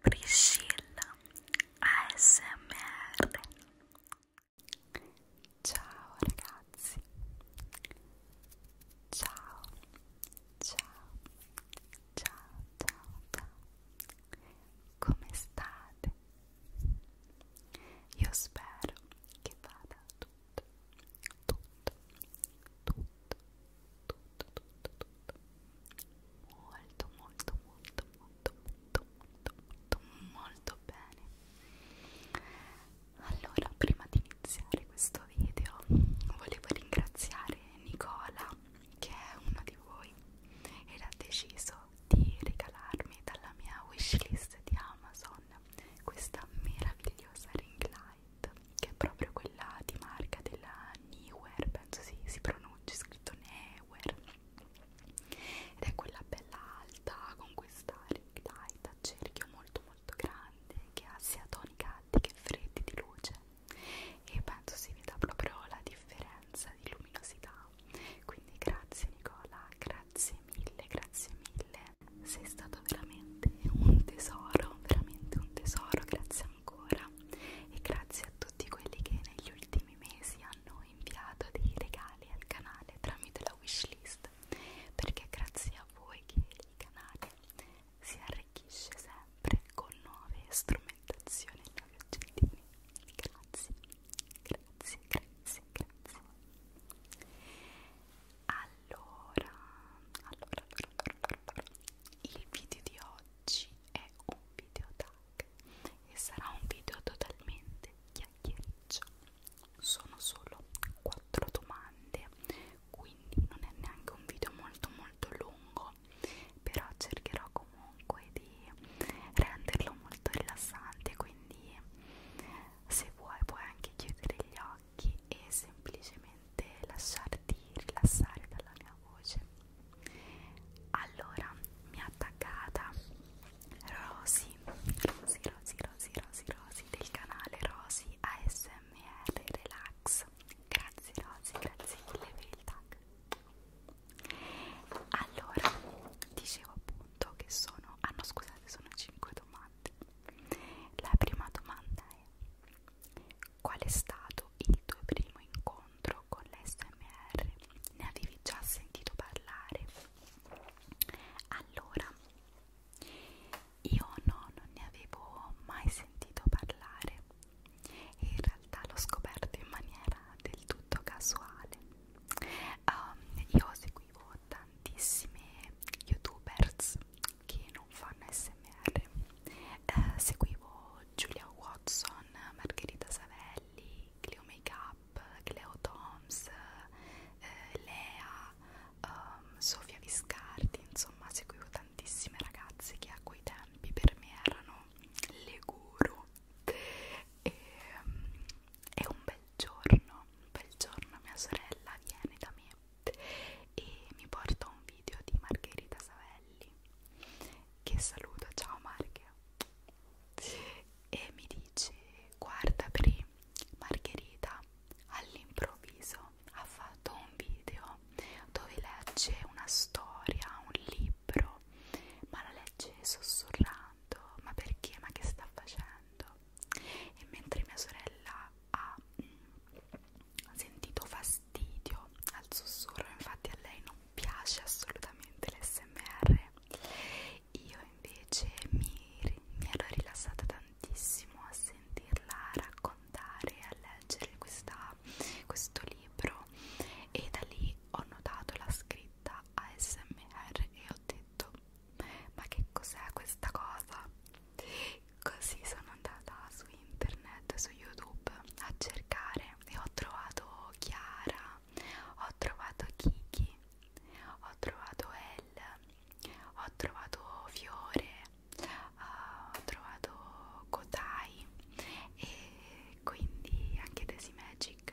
Priscilla ASMR Ciao ragazzi Ciao Ciao Ciao ciao ciao Come state? Io spero che vada tutto tutto tutto tutto, tutto, tutto molto, molto, molto, molto, molto, molto, molto bene. Allora, prima di iniziare questo video, volevo ringraziare Nicola, che è uno di voi, ed ha deciso di regalarmi dalla mia wishlist di Amazon questa meravigliosa ring light Night che è proprio quella di marca della Newer, penso si, si pronuncia, scritto Newer ed è quella bella alta con questa light a cerchio molto molto grande che ha sia toni caldi che freddi di luce e penso si veda proprio la differenza di luminosità quindi grazie Nicola, grazie mille, grazie mille sei stato veramente un tesoro, veramente un tesoro, grazie ancora Pandora e grazie a tutti quelli che negli ultimi mesi hanno inviato dei regali al canale tramite la wishlist perché grazie a voi che il canale si arricchisce sempre con nuove strumentazioni e nuovi oggettini grazie, grazie, grazie, grazie allora, allora, allora, allora, allora il video di oggi è un video tag e sarà un video totalmente chiacchiericcio sono solo quattro domande quindi non è neanche un video molto molto lungo però cercherò comunque di renderlo molto rilassante quindi se vuoi puoi anche chiudere gli occhi occhi e semplicemente lasciarti rilassare dalla mia voce. Allora, mi ha attaccata Rosy, Rosy, Rosy, Rosy, Rosy, Rosy del canale Rosy ASMR Relax. Grazie Rosy, grazie mille per il tag. Allora, dicevo appunto che sono, ah no scusate, sono 5 domande. La prima domanda è Qual è stato il tuo primo incontro con l'SMR? Ne avevi già sentito parlare? Allora, io no, non ne avevo mai sentito parlare e in realtà l'ho scoperto in maniera del tutto casuale. Um, io seguivo tantissime youtubers che non fanno smr eh, seguivo Giulia Watson, Margherita Savelli, Cleo Makeup, Cleo Toms, eh, Lea, um, Sofia Viscardi, insomma seguivo tantissime ragazze che a quei tempi per me erano le guru e, ehm, e un bel giorno, un bel giorno mia sorella viene da me e mi porta un video di Margherita Savelli che saluto, ciao Marghe e mi dice guarda Pri, Margherita all'improvviso ha fatto un video dove legge una storia, un libro ma la legge sussurrando ma perché, ma che sta facendo? e mentre mia sorella ha mh, mm, sentito fastidio al sussurro, infatti a lei non piace assolutamente l'SMR. Io invece mi, mi ero rilassata tantissimo a sentirla raccontare e a leggere questa, questo libro e da lì ho notato la scritta ASMR e ho detto ma che cos'è questa cosa? Così sono andata su internet, su YouTube a cercare e ho trovato Chiara, ho trovato Kiki, ho trovato El, ho trovato Fiore, uh, ho trovato Kotai e quindi anche Desi Magic,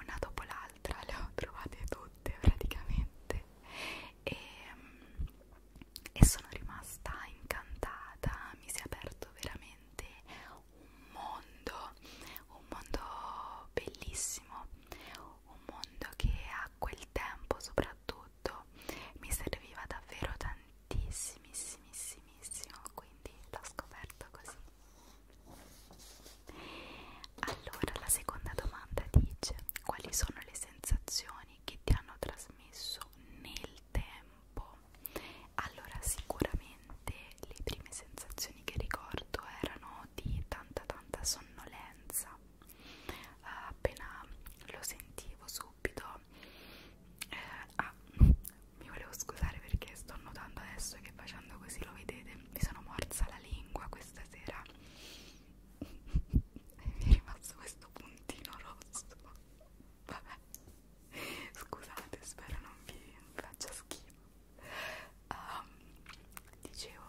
una dopo l'altra le ho trovate tutte praticamente e, e sono rimasta incantata, mi si è aperto veramente un mondo, un mondo bellissimo, un mondo che a quel tempo soprattutto mi serviva davvero tantissimissimissimo, quindi l'ho scoperto così. Allora, la seconda domanda dice: quali sono sono le sensazioni che ti hanno trasmesso nel tempo allora sicuramente le prime sensazioni che ricordo erano di tanta tanta sonnolenza eh, appena lo sentivo subito eh, ah mi volevo scusare perché sto notando adesso che facendo così lo vedete mi sono morsa la lingua questa sera mi è rimasto questo puntino rosso vabbè scusate spero non vi faccia schifo um, dicevo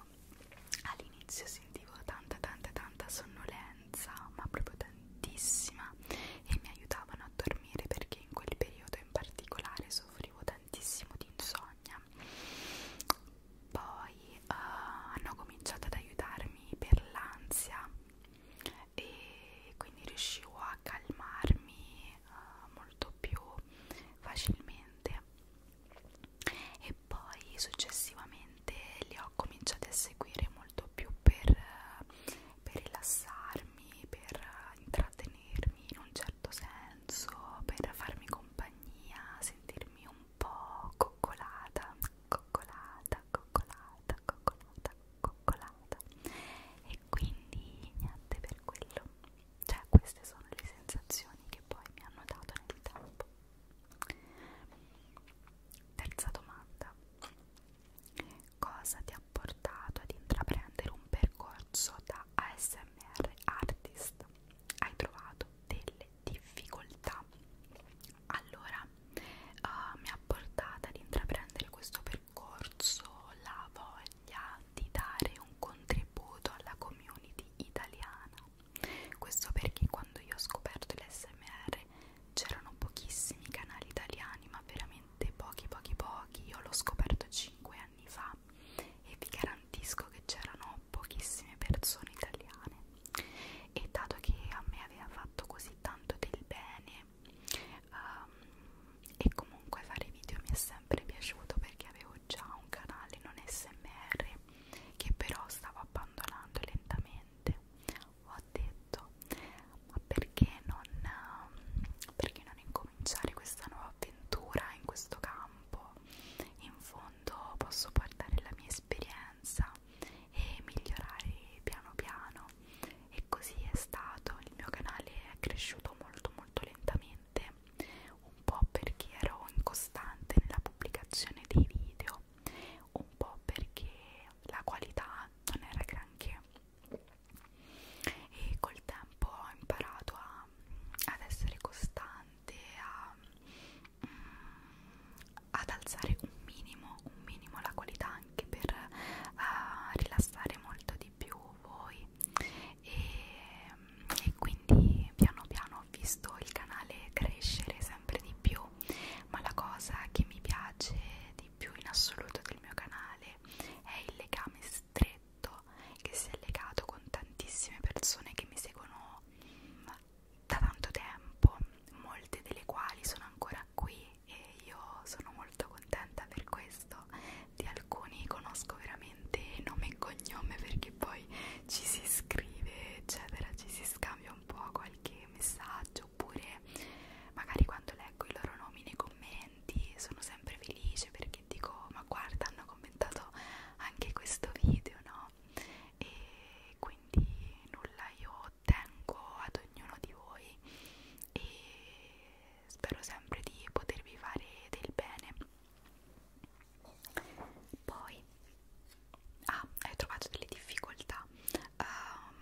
all'inizio sentivo tanta tanta tanta sonnolenza ma proprio tantissima e mi aiutavano a dormire perché in quel periodo in particolare soffrivo tantissimo di insonnia poi uh, hanno cominciato ad aiutarmi per l'ansia e quindi riuscivo a calmarmi uh, molto più facilmente e poi successivamente li ho cominciati a seguire molto più per, eh, per rilassarmi, per intrattenermi in un certo senso, per farmi compagnia compagnia, sentirmi un po' coccolata, coccolata, coccolata, coccolata, coccolata e quindi niente per quello, cioè queste sono le sensazioni che poi mi hanno dato nel tempo. Terza domanda, cosa ti ha portato ad intraprendere un percorso da ASMR artist? hai trovato delle difficoltà allora uh, mi ha portato ad intraprendere questo percorso la voglia di dare un contributo alla community italiana questo perché quando io ho scoperto l'SMR c'erano pochissimi canali italiani ma veramente pochi pochi pochi io l'ho scoperto 5 anni fa e vi garantisco che c'erano pochissime persone italiane e dato che a me aveva fatto così tanto del bene um, e comunque fare video mi è sempre piaciuto perché avevo già un canale non smr che però stavo abbandonando lentamente ho detto ma perché non, perché non incominciare cominciare questa nuova avventura in questo campo in fondo posso portare la mia esperienza e migliorare piano piano e così è stato il mio canale è cresciuto molto molto lentamente un po' perché ero incostante nella pubblicazione dei video un po' perché la qualità non era granché e col tempo ho imparato a, ad essere costante, a, mm, ad alzare un minimo, un minimo la qualità anche per uh, rilassare molto di più voi e, e quindi piano piano ho visto il canale crescere sempre di più ma la cosa che mi piace di più in assoluto del mio canale è il legame stretto che si è legato con tantissime persone che mi seguono mm, da tanto tempo, molte delle quali sono ancora qui e io sono molto contenta per questo. Di alcuni conosco veramente nome e cognome perché poi ci si scrive, eccetera, ci si scambia un po' qualche messaggio oppure magari quando leggo i loro nomi nei commenti commenti sono sempre felice perché dico ma guarda hanno commentato anche questo video no e quindi nulla io tengo ad ognuno di voi e spero sempre di potervi fare del bene poi ah hai trovato delle difficoltà uh,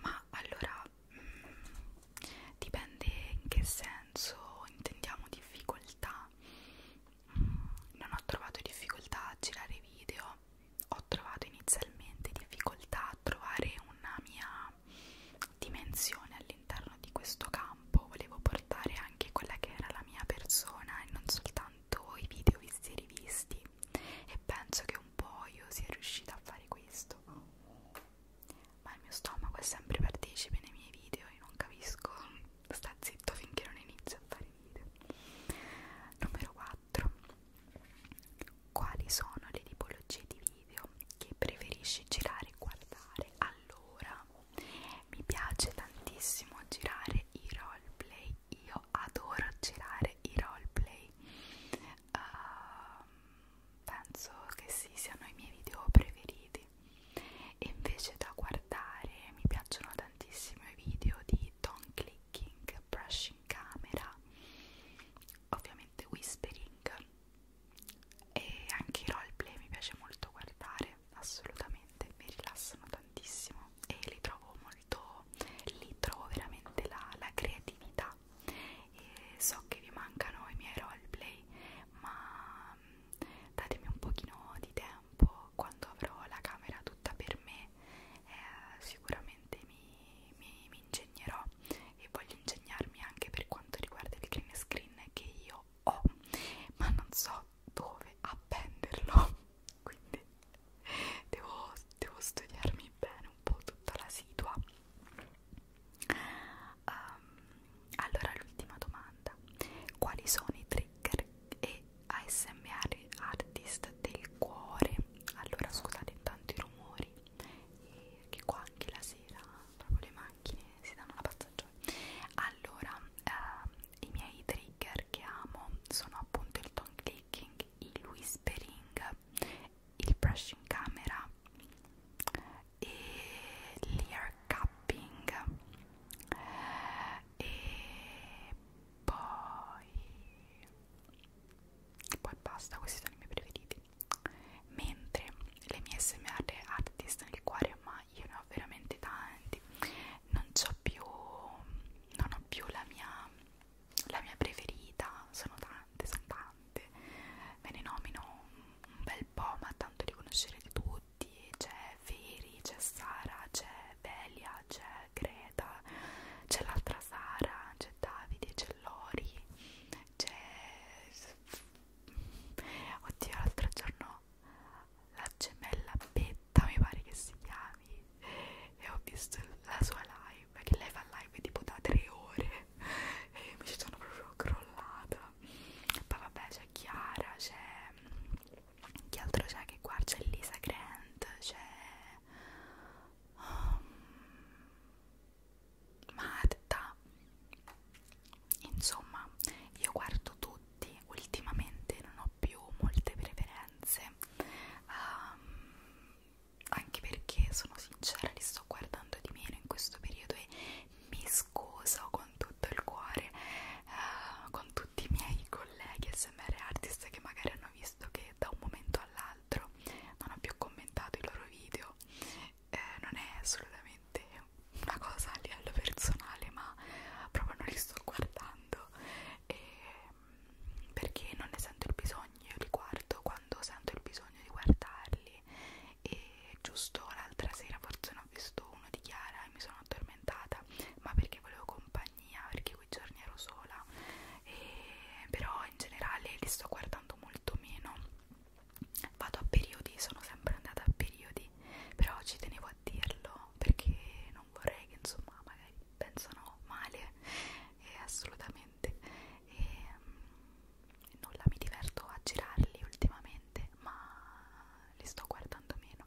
ma allora mh, dipende in che senso intendiamo difficoltà mh, mm, non ho trovato difficoltà a girare video ho trovato inizialmente difficoltà a trovare una mia dimensione all'interno di questo campo volevo portare anche quella che era la mia persona e non soltanto i video visti e rivisti e penso che un po' io sia riuscita a fare questo ma il mio stomaco è sempre partecipe nei miei video e non capisco, sta zitto finché non inizio a fare video. Numero 4. Quali sono le tipologie di video che preferisci girare e guardare? Allora, mi piace tantissimo girare i roleplay, io adoro girare i roleplay uh, penso che sì, siano i miei video preferiti e invece da guardare mi piacciono tantissimo i video di Don Clicking, Brushing Camera ovviamente Whispering e anche i roleplay mi piace molto guardare assolutamente, mi rilassano tantissimo e li trovo molto, li trovo veramente la, la creatività e so che vi mancano i miei roleplay ma mm, datemi un pochino di tempo quando avrò la camera tutta per me eh, sicuramente mi, mi, mi ingegnerò e voglio ingegnarmi anche per quanto riguarda il green screen che io ho ma non so dove appenderlo quindi devo, devo studiarmi bene un po' tutta la situa Um, allora l'ultima domanda, quali sono i trigger e ASMR artist del cuore? Allora scusate intanto i rumori, e eh, che qua anche la sera proprio le macchine si danno la passaggiata. Allora, uh, i miei trigger che amo sono appunto il tongue clicking, il whispering il brush in camera e l'ear cupping e poi poi basta questi sono i miei preferiti mentre le mie smr artist nel cuore ma io ne ho veramente tanti non ho più non ho più la mia la mia preferita, sono tante, sono tante, me ne nomino un bel po', ma tanto li conoscerete tutti, c'è Feri, c'è Sara, c'è Velia, c'è Greta, c'è l'altra Sara, c'è Davide, c'è Lori, c'è... oddio l'altro giorno la gemella Betta mi pare che si chiami e ho visto la sua live live perché lei fa live tipo da tre ore e mi ci sono proprio crollata poi vabbè c'è Chiara c'è chi altro c'è che qua c'è Lisa Grant c'è um, Marta insomma io guardo tutti ultimamente non ho più molte preferenze um, anche perché sono sincera li sto guardando di meno in questo periodo e mi scuso con tutto il cuore eh, con tutti i miei colleghi smr artist che magari hanno visto che da un momento all'altro non ho più commentato i loro video eh, non è assolutamente una cosa a livello personale ma proprio non li sto guardando e perché non ne sento il bisogno, io li guardo quando sento il bisogno di guardarli e giusto l'altra sera forse ne ho visto uno di Chiara e mi sono addormentata ma perché volevo compagnia, perché quei giorni ero sola e però in generale li sto guardando molto meno vado a periodi, sono sempre andata a periodi però ci tenevo a dirlo perché non vorrei che insomma magari pensano male e assolutamente niente e um, nulla mi diverto a girarli ultimamente ma li sto guardando meno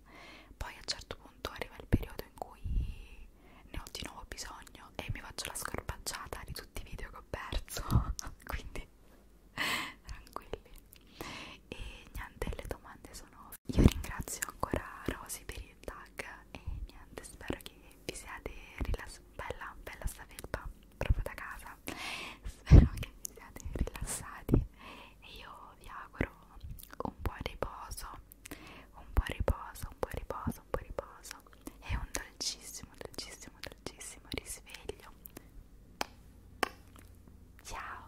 poi a un certo punto arriva il periodo in cui ne ho di nuovo bisogno e mi faccio la scorpacciata di tutti i video che ho perso quindi tranquilli e niente le domande sono io ringrazio ancora Rosy per il i tag e niente spero che vi siate rilassati bella bella sta felpa proprio da casa spero che vi siate rilassati e io vi auguro un po' riposo un po' riposo un po' riposo un po' riposo e un dolcissimo dolcissimo dolcissimo risveglio ciao